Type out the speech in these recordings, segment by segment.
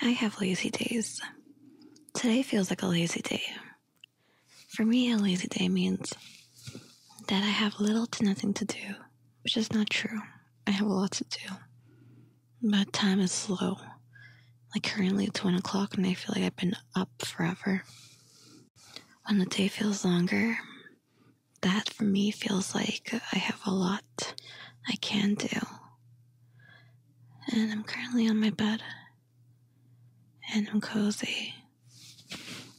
I have lazy days. Today feels like a lazy day. For me, a lazy day means that I have little to nothing to do, which is not true. I have a lot to do. But time is slow. Like currently it's one o'clock and I feel like I've been up forever. When the day feels longer, that for me feels like I have a lot I can do. And I'm currently on my bed. And I'm cozy.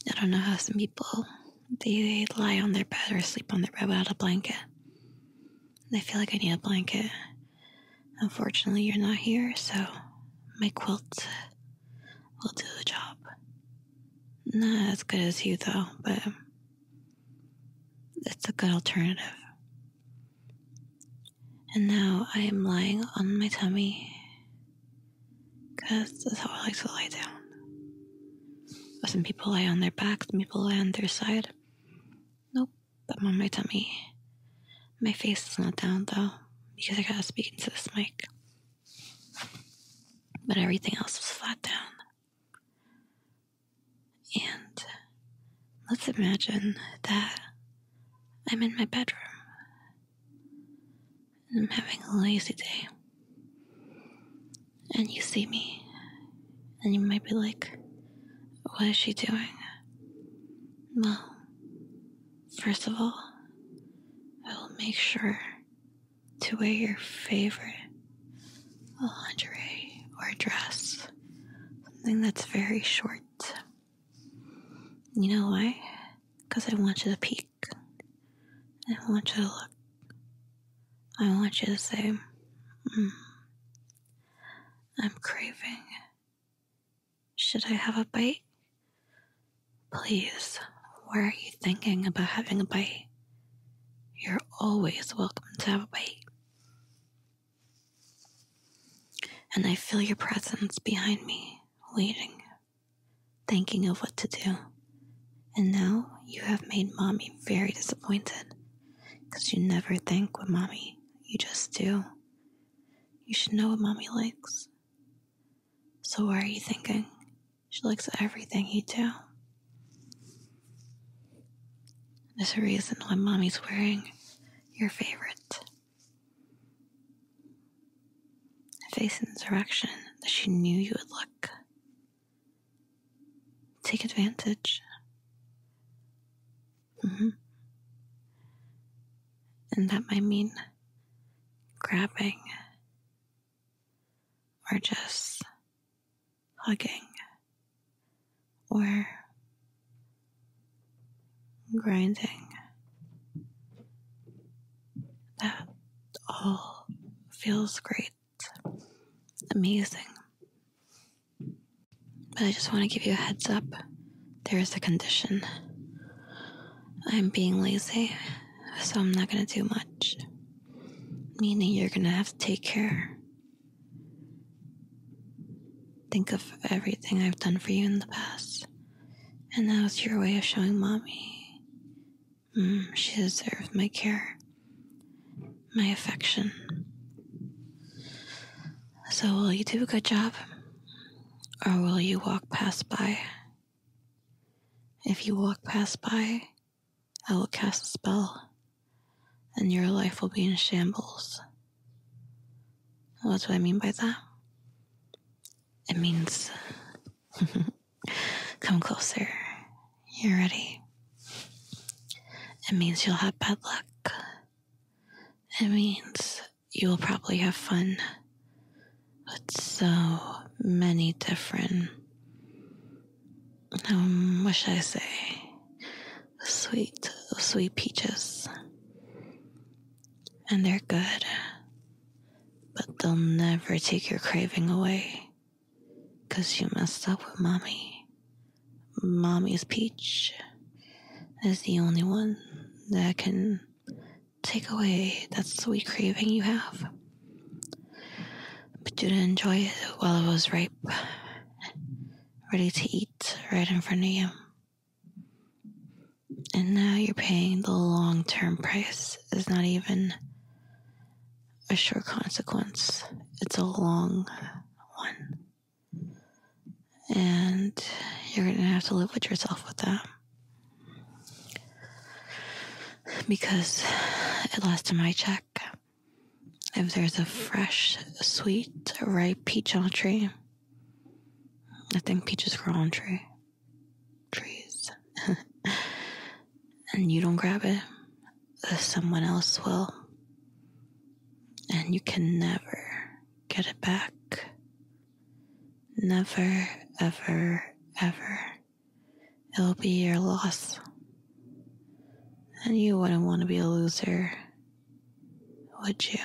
I don't know how some people they, lie on their bed or sleep on their bed without a blanket. I feel like I need a blanket. Unfortunately, you're not here, so my quilt will do the job. Not as good as you, though, but it's a good alternative. And now I am lying on my tummy because that's how I like to lie down. Some people lie on their backs, some people lie on their side. Nope, but am on my tummy. My face is not down though because I gotta speak into this mic. But everything else was flat down. And let's imagine that I'm in my bedroom and I'm having a lazy day. And you see me, and you might be like, What is she doing? Well, First of all, I will make sure to wear your favorite lingerie or dress, something that's very short. You know why? Because I want you to peek. I want you to look. I want you to say, mm, I'm craving should I have a bite? Please, why are you thinking about having a bite? You're always welcome to have a bite. And I feel your presence behind me, waiting, thinking of what to do. And now you have made mommy very disappointed because you never think with mommy, you just do. You should know what mommy likes. So what are you thinking? She likes everything you do. There's a reason why mommy's wearing your favorite. Face in the direction that she knew you would look. Take advantage. Mm-hmm. And that might mean grabbing or just hugging or grinding. That all feels great, amazing. But I just want to give you a heads up there is a condition. I'm being lazy, so I'm not going to do much. Meaning you're going to have to take care. Think of everything I've done for you in the past. And that was your way of showing mommy hmm, she deserves my care my affection. So, will you do a good job? Or will you walk past by? If you walk past by, I will cast a spell, and your life will be in shambles. What do I mean by that? It means come closer you're ready. It means you'll have bad luck. It means you will probably have fun with so many different, um, what should I say, sweet, sweet peaches. And they're good, but they'll never take your craving away. Cause you messed up with mommy. Mommy's peach is the only one that can take away that sweet craving you have. But you didn't enjoy it while it was ripe, ready to eat right in front of you. And now you're paying the long term price It's not even a sure consequence. It's a long one. And you're going to have to live with yourself with that. Because at last time I check, if there's a fresh, sweet, ripe peach on a tree, I think peaches grow on trees trees and you don't grab it, uh, someone else will. And you can never get it back. Never, ever, ever. It'll be your loss. And you wouldn't want to be a loser, would you?